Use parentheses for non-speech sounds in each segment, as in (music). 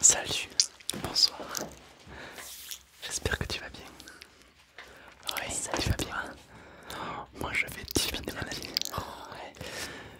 Salut, bonsoir. J'espère que tu vas bien. Oui, ça, tu vas bien. Moi je vais divinement la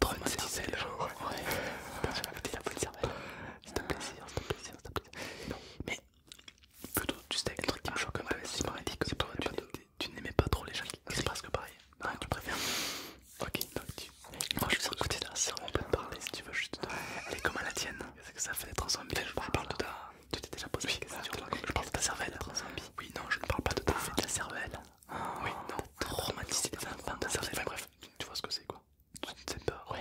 traumatisé les gens. Ouais, c'est la petite cervelle. C'est un plaisir, c'est un plaisir, c'est un plaisir. Mais plutôt du steak, le truc qui me ah, choque, c'est pareil. Tu n'aimais pas trop les gens qui C'est que pareil. Non, tu préfères. Ok, donc tu. Moi je suis côté la cervelle on peut te parler euh, si tu veux juste. Elle est comme la tienne. C'est que ça fait d'être en Je parle de ta. Tu t'es déjà posé la Je parle de ta cervelle. Oui, non, je ne parle pas de ta cervelle oui, non, traumatiser des enfants de ça, enfin, bref, tu vois ce que c'est quoi. Tu sais pas, ouais.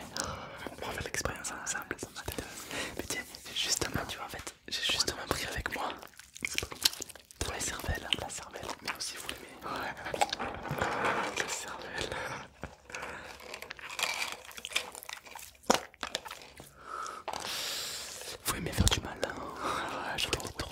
On va faire l'expérience ensemble, ça m'intéresse. Mais tiens, justement, tu vois, en fait, j'ai justement pris avec moi de les cervelles, la cervelle, mais aussi vous l'aimez. Ouais, la cervelle. Vous aimez faire du mal, hein Ouais, vous le retourne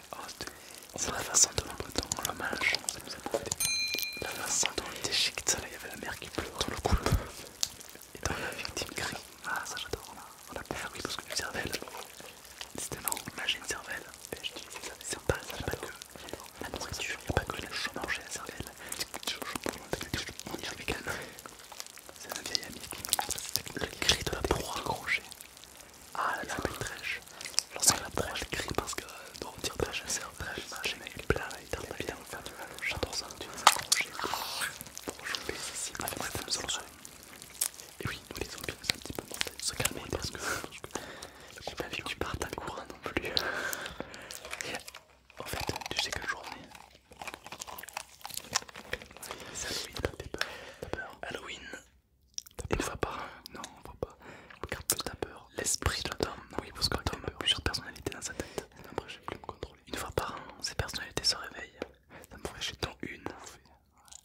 Oh, c'est la façon dont on le mange. La façon dont on était déchiquette. là, il y avait la mère qui pleure dans le couloir. Et dans la victime crie. Ah, ça j'adore. On a perdu parce que une cervelle. C'était marrant. Là, une cervelle. C'est pas, pas que la nourriture, il n'y a pas que le chômage et la cervelle. On y vieil ami C'est un vieil ami. Le cri de la proie accrochée. Ah la belle trèche. Lorsqu'elle approche, ah, crie parce que trèche, c'est un trèche, bien faire du tu les pour choper ici. nous Et oui, nous les un petit peu Se calmer parce que. (laughs) J'ai pas vu tu courant non plus. (laughs) en fait, tu sais quelle journée peur Halloween, une fois par an, Non, on voit pas. Regarde plus ta peur. L'esprit de Tom. Non, oui, parce que Tom a plusieurs personnalités dans sa tête. Après après, j'ai plus me contrôler. Une fois par an, ces personnalités se réveillent. Ça me fait chier ton une.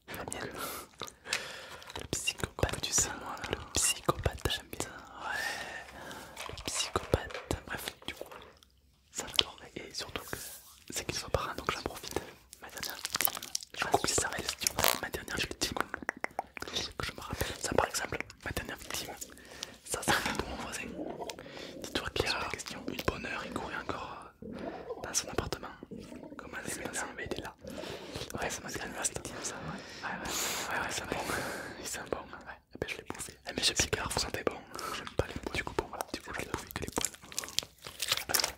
La Le psychopathe, tu sais, moi. Le psychopathe, j'aime bien. Ouais. Le psychopathe. Bref, du coup, ça m'adore Et surtout que c'est qu'ils sont par donc j'en profite. Ma dernière victime. je ah, coupe ça Ma dernière victime, que je me rappelle, ça par exemple, ma dernière victime, ça c'est tout mon voisin. Dis-toi qu'il a une bonne heure, il courait encore euh, dans son appartement. Comment elle est maintenant, il est là. Ouais, c'est ma dernière victime ça. Ouais, ouais, ouais, c'est bon. C'est bon, hein. eh ben, je l'ai bouffé. Mais eh ben, je picard, vous sentez bon. J'aime pas les poils. Du coup, bon, du coup, je l'ai bouffé que les poils.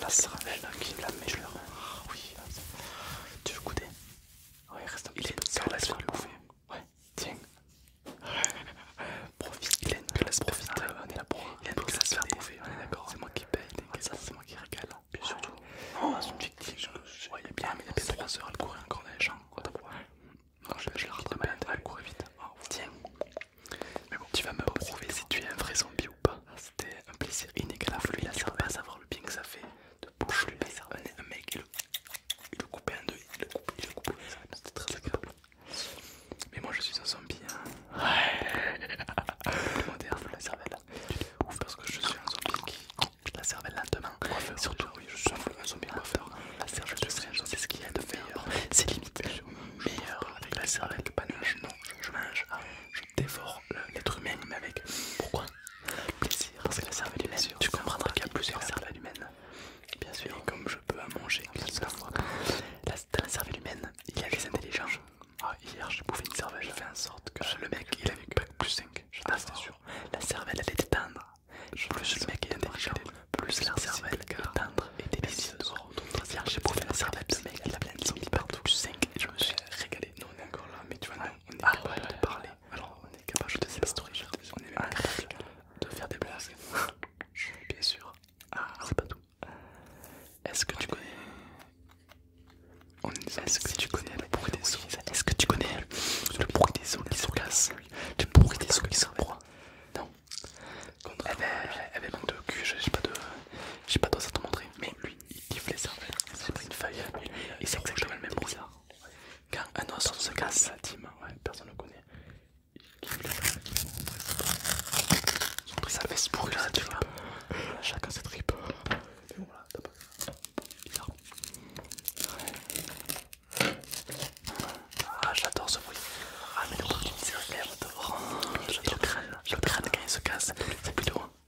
La ravelle qui la mélore. Ah oui. Tu veux goûter Ouais, reste un petit peu. Car la le bouffer. Ouais, tiens. Profite, Il Glenn. Profite, on est là pour. Glenn, que ça se faire bouffer. On est d'accord. C'est moi qui paye. Ah, c'est moi qui régale. Puis hein. surtout, son petit clic. Ouais, il est bien, mais il a payé 3 heures à le courir encore des gens. champs. Non, je l'ai rattrapé. Elle courait vite. Ah, tiens. Mais bon, tu vas me prouver si tu es un vrai zombie. Ah, c'était un plaisir inégalable. Lui, il la cervelle pas savoir le bien que ça fait de bouffer lui un mec. Il le, coupait en deux, il le coupait, il le C'était très agréable. Mais moi, je suis un zombie. Hein. Ouais. (laughs) moderne, la cervelle. Ouf, parce que je suis un zombie qui. La cervelle lentement. Surtout, oui, je suis un zombie coiffeur. La cervelle, je un C'est ce qu'il y a de meilleur. C'est limite meilleur avec la cervelle que manger. Non, je mange, je dévore l'être humain mais avec pourquoi plaisir parce que la cervelle humaine tu comprendras qu'il y a plusieurs cervelles humaines bien sûr et comme je peux à manger La, dans la cervelle humaine il y a les intelligences ah, hier j'ai bouffé une cervelle j'ai fait en sorte que ah, le mec il avait plus 5 ah c'est sûr la cervelle elle était tendre plus le mec est intelligent plus la cervelle est tendre et délicieuse hier j'ai bouffé la cervelle de mec il a plein de partout plus 5 et je me suis euh, régalé non, on est encore là, mais tu vois, ah, non, ah, on est capable de parler. Alors, on est capable de faire story on est capable de faire des blagues. Bien sûr. Ah, c'est pas tout. Est-ce que, tu connais. Est-ce que tu connais le bruit des os Est-ce que tu connais le bruit des os qui se cassent Le bruit des os qui se Non. Eh ben, elle avait manqué de cul, j'ai pas de. J'ai pas d'os à te montrer. Mais lui, il lève les armes. C'est pas une faille. Et c'est exactement le même bruit. Quand un oiseau se casse, la ouais, personne le connaît. Ça fait ce bruit là, tu vois. Chacun ses tripes. Et voilà, Bizarre. Ah, j'adore ce bruit. Ah, mais le bruit, c'est un rêve de voir. le crâne. Le crâne, quand il se casse, c'est plutôt.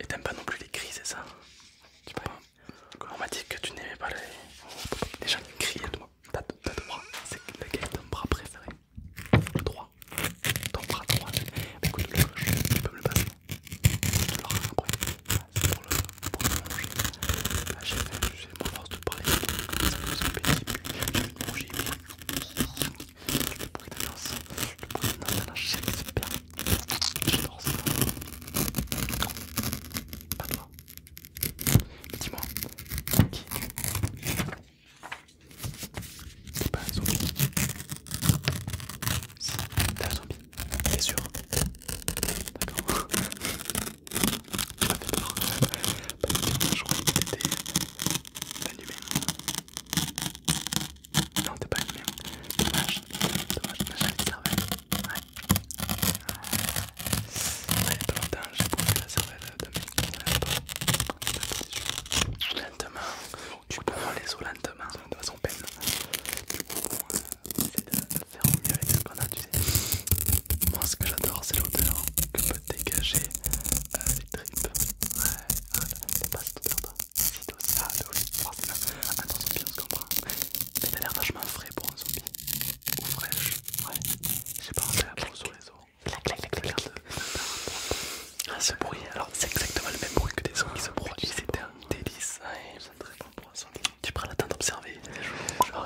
Et t'aimes pas non plus les cris, c'est ça Tu peux On m'a dit que tu n'aimais pas les... gens qui crient, toi. T'as deux bras. C'est lequel est ton bras préféré Le droit. Ton bras droit. Mais écoute, le gauche, tu peux me le passer. Tu l'auras après. C'est pour le, manger. Ah, j'ai fait, j'ai mon force de parler. Ça me fait Tu J'ai manger. Le bruit de l'encens. te bruit de l'encens. C'est super. J'adore ça. Non, pas toi. dis-moi, qui es-tu T'es pas un zombie Si, t'es un zombie, t'es sûr D'accord. Tu m'as fait peur. Pas du tout, je croyais que t'étais un humain. Non, t'es pas une Dommage, dommage, cervelle. Ouais. j'ai la de Lentement, tu prends les os lentement, de façon peine. de, faire au mieux avec tu sais. Moi, ce que j'adore, c'est l'odeur que peut dégager euh, les tripes. Ouais, c'est pas ah oui, ah de attends zombie on se comprend mais t'as l'air vachement frais pour un zombie ou fraîche ouais j'ai pas à la sur les os clac clac clac ah ce bruit alors c'est exactement le même bruit que des os qui se produisent c'est un délice ouais c'est très bon pour un zombie tu prends le temps d'observer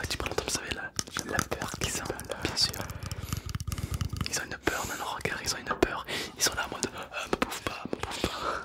tu prends le temps d'observer la, la peur qu'ils ont bien sûr ils ont une peur dans leur regard ils ont une peur ils sont là en mode euh, me bouffe pas me bouffe pas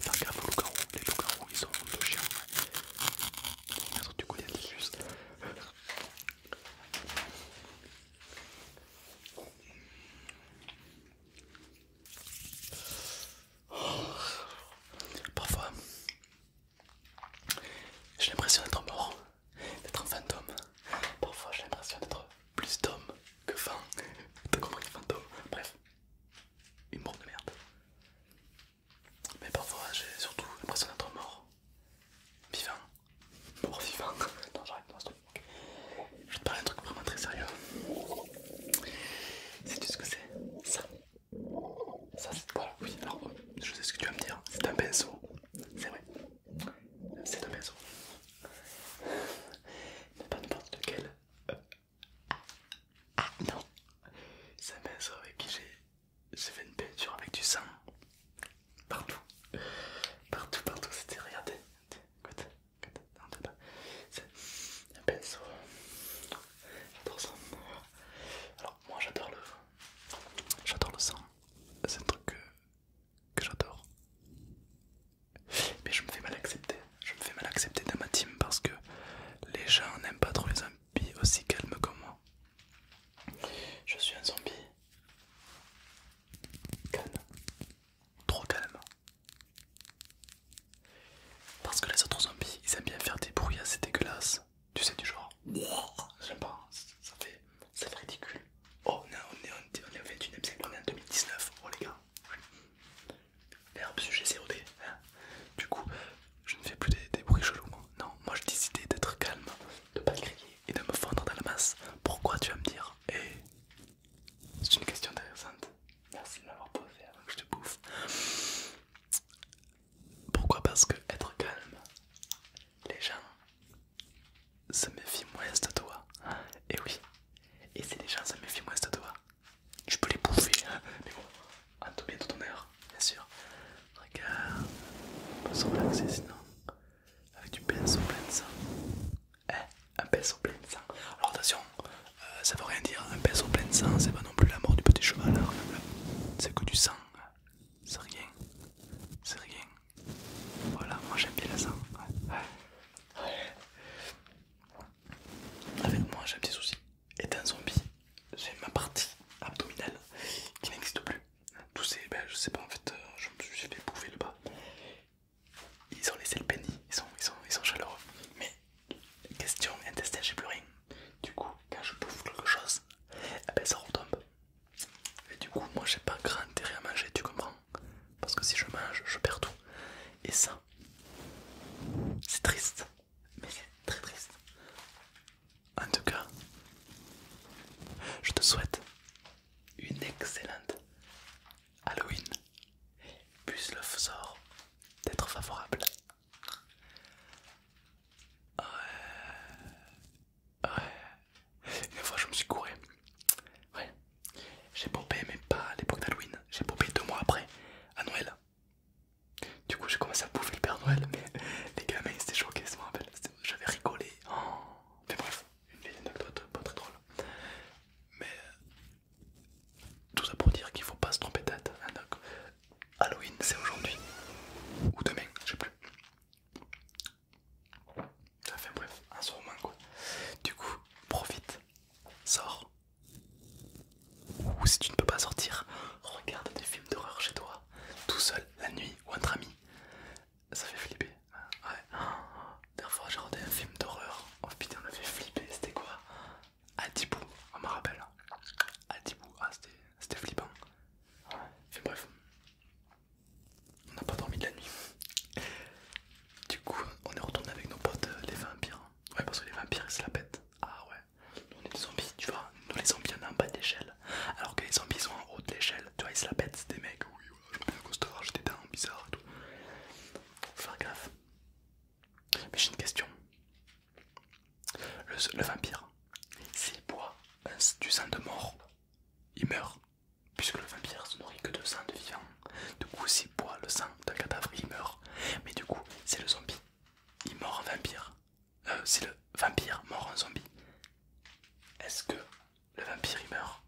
Faire gaffe aux loups-garous. Les ils sont de chiens. du coup, il Parfois, j'ai l'impression d'être mort, d'être un fantôme. Parfois, j'ai l'impression d'être plus d'homme que fan. T'as compris, fantôme Bref une humour de merde. Mais parfois j'ai surtout l'impression d'être mort. Vivant. Mort vivant. (laughs) non j'arrête Je vais te parler d'un truc vraiment très sérieux. Sais-tu ce que c'est Ça. Ça c'est... Voilà, oui, alors euh, je sais ce que tu vas me dire. C'est un pinceau. C'est vrai. C'est un pinceau. Mais pas n'importe lequel. Euh, ah, non, c'est un pinceau avec qui j'ai fait une peinture avec du sang partout, partout, partout. C'était, regardez, écoute, écoute, non, c'est un pinceau. J'adore ça. Alors, moi j'adore le j'adore le sang, c'est un truc que j'adore. Mais je me fais mal accepter. Je me fais mal accepter dans ma team parce que les gens n'aiment pas trop les zombies aussi calmes comme moi. Je suis un zombie calme. Trop calme. Parce que les autres zombies, ils aiment bien faire des bruits assez dégueulasses. Tu sais, du genre. J'aime pas, ça fait, ridicule. Oh, on on est au 21ème siècle, on est en 2019. Oh les gars. L'herbe sujet COD. Hein du coup, je ne fais plus des, bruits chelous. Non, moi j'ai décidé d'être calme, de pas crier et de me fondre dans la masse. Pourquoi tu vas me dire Et eh, c'est une question intéressante. Merci de m'avoir posé avant hein, que je te bouffe. Pourquoi Parce que être calme, les gens se méfient moins de toi. Et oui, et si les gens se méfient moins de toi, je peux les bouffer, hein. mais bon, en tout bien ton heure, bien sûr. Regarde, on peut se relaxer sinon. Avec du pinceau plein de sang. Eh, un pinceau plein de sang. Alors attention, euh, ça veut rien dire. Un pinceau plein de sang, c'est pas non plus la mort du petit cheval. Hein. C'est que du sang. C'est rien. C'est rien. Voilà, moi j'aime bien la sang. Avec moi j'ai un petit souci. un zombie, c'est ma partie abdominale qui n'existe plus. Tous c'est, ben, je sais pas en fait, euh, je me suis fait bouffer le bas. Ils ont laissé le pénis, ils sont, ils ils sont chaleureux. Mais question intestin, j'ai plus rien. Du coup, quand je bouffe quelque chose, eh ben, ça retombe. Et du coup, moi j'ai pas grand intérêt à manger, tu comprends parce que si je mange, je perds tout. Et ça, c'est triste, mais c'est très triste. En tout cas, je te souhaite une excellente Halloween. Plus le sort d'être favorable. Ouais. Ouais. Une fois, je me suis couré. Ouais. J'ai pompé mais pas à l'époque d'Halloween. J'ai pompé deux mois après, à Noël. Du coup, j'ai commencé à bouffer le Père Noël, mais (laughs) les gamins ils étaient choqués, je rappelle. J'avais rigolé. Oh. Mais bref, une anecdote pas très drôle. Mais tout ça pour dire qu'il faut pas se tromper tête hein, Halloween c'est aujourd'hui ou demain, je sais plus. Enfin bref, un moment quoi. Du coup, profite Sors. Ou si tu ne peux pas sortir, regarde des films d'horreur chez toi, tout seul, la nuit ou entre amis. Ça fait flipper. Ouais. Dernière fois, j'ai regardé un film d'horreur. Oh putain, on a fait flipper. C'était quoi Adibou, on me rappelle. Adibou, ah, c'était flippant. Ouais. bref. On n'a pas dormi de la nuit. Du coup, on est retourné avec nos potes euh, les vampires. Ouais, parce que les vampires ils se la pètent. Ah ouais, nous on est des zombies, tu vois. Nous les zombies on est en bas de l'échelle. Alors que les zombies sont en haut de l'échelle. Tu vois, ils se la pètent, c'est des mecs. Oui, voilà, je me un costard, j'ai des dents bizarres et tout. Faut faire gaffe. Mais j'ai une question. Le, vampire, s'il boit du sang de mort, il meurt puisque le vampire se nourrit que de sang de vivant. Du coup, s'il boit le sang d'un cadavre, il meurt. Mais du coup, c'est le zombie. Il mord un vampire. Euh, c'est le vampire mort un zombie. Est-ce que le vampire meurt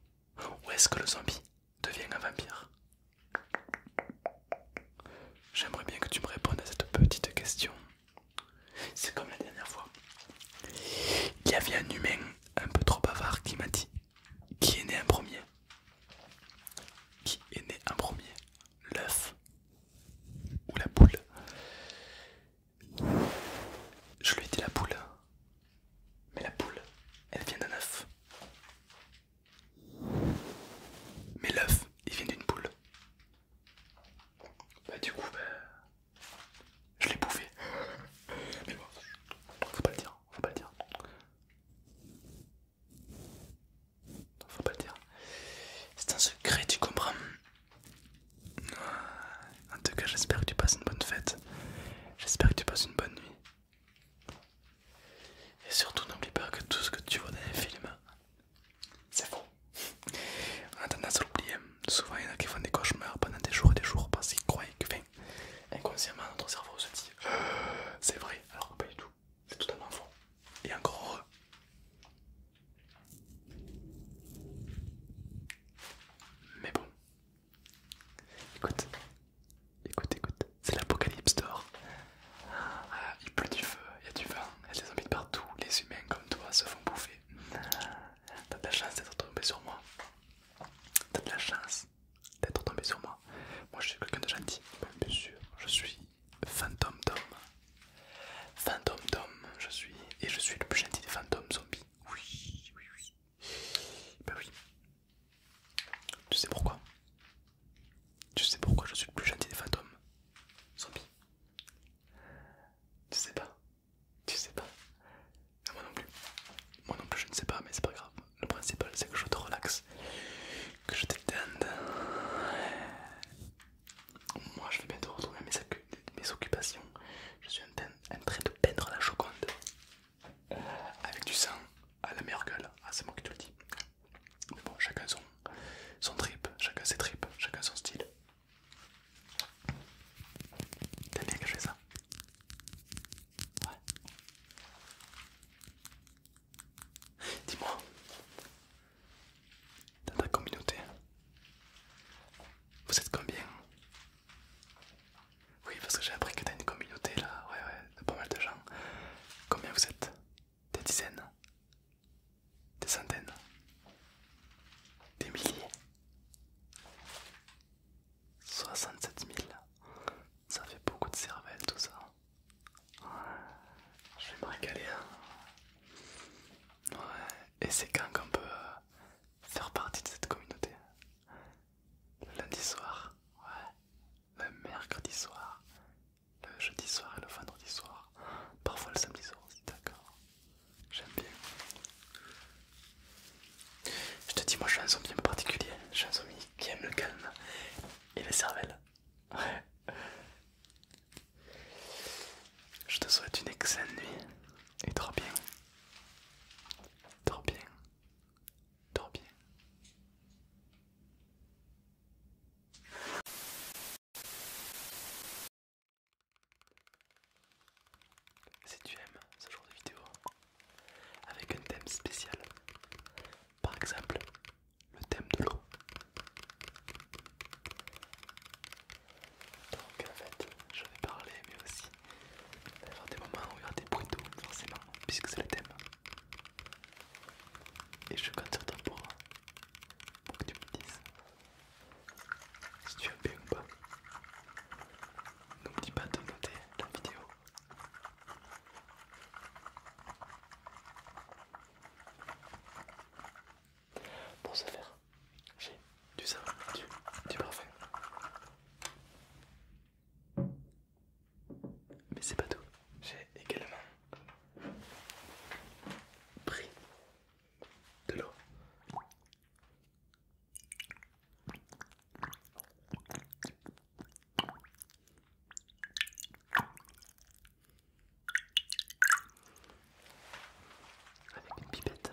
Ou est-ce que le zombie devient un vampire J'aimerais bien que tu me répondes à cette petite question. C'est comme la dernière fois. Il y avait un humain un peu trop bavard qui m'a dit Qui est né un premier qui est né un premier L'œuf ou la poule Je lui ai dit la poule. Mais la poule, elle vient d'un œuf. Mais l'œuf, il vient d'une poule. Bah du coup, bah, je l'ai bouffé. Mais bon, faut pas le dire faut pas le dire. faut pas le dire. C'est un secret, tu comprends. En tout cas, j'espère que tu passes une bonne fête. J'espère que tu passes une bonne nuit. Et surtout, n'oublie pas que tout ce que tu vois dans les films, c'est faux. On a tendance à l'oublier. Souvent, il y en a qui font des cauchemars pendant des jours et des jours parce qu'ils croient que, Inconsciemment, notre cerveau se dit (gasps) c'est vrai, alors que pas du tout, c'est totalement faux. Et encore heureux. Mais bon, écoute, écoute, écoute, c'est l'apocalypse d'or. Ah, il pleut du feu, il y a du vent, il y a des zombies partout, les humains comme toi se font bouffer. T'as de la chance d'être tombé sur moi. T'as de la chance d'être tombé sur moi. Moi je suis quelqu'un de gentil, bien sûr, je suis fantôme d'homme. Fantôme d'homme, je suis, et je suis le plus gentil des fantômes zombies. Oui, oui, oui. Ben oui. Tu sais pourquoi Tu sais pourquoi je suis le plus gentil des fantômes zombies Tu sais pas Tu sais pas moi non plus. Moi non plus, je ne sais pas, mais c'est pas grave. Le principal, c'est que je te relaxe, que je détende. Moi, je vais bientôt retrouver mes, occupations. Je suis en train de peindre la choconde. avec du sang à la meilleure gueule. Ah, c'est moi qui te le dis. Mais bon, chacun son, trip, chacun ses tripes, chacun son style. T'as bien que je fais ça Ouais. Dis-moi, dans ta communauté, vous êtes combien Oui, parce que j'ai appris que t'as une communauté là, ouais, ouais, pas mal de gens. Combien vous êtes Des dizaines Des centaines Des milliers 67 000 ça fait beaucoup de cervelle tout ça. Ouais, je vais me régaler. Hein. Ouais, et c'est quand qu'on peut euh, faire partie de cette communauté. Le lundi soir, ouais, le mercredi soir, le jeudi soir et le vendredi soir. Parfois le samedi soir aussi, d'accord. J'aime bien. Je te dis, moi je suis un zombie un particulier. Je un qui aime le calme et les cervelles. Je te souhaite une excellente nuit et dors bien. Dors bien. Dors bien. Si tu aimes ce genre de vidéo, avec un thème spécial. Par exemple, le thème de l'eau. Donc en fait, je vais parler, mais aussi des moments où il y a des bruits d'eau, forcément, puisque c'est le thème. Et je compte sur toi pour, pour que tu me dises si tu as bien ou pas. N'oublie pas de noter la vidéo pour ce faire, j'ai du savon, du, du parfum. Mais c'est pas tout. J'ai également pris de l'eau avec une pipette.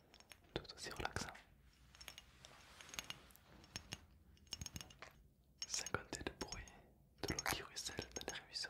tout aussi relaxant. Hein. 50 de bruit de l'eau qui ruisselle dans les ruisseaux.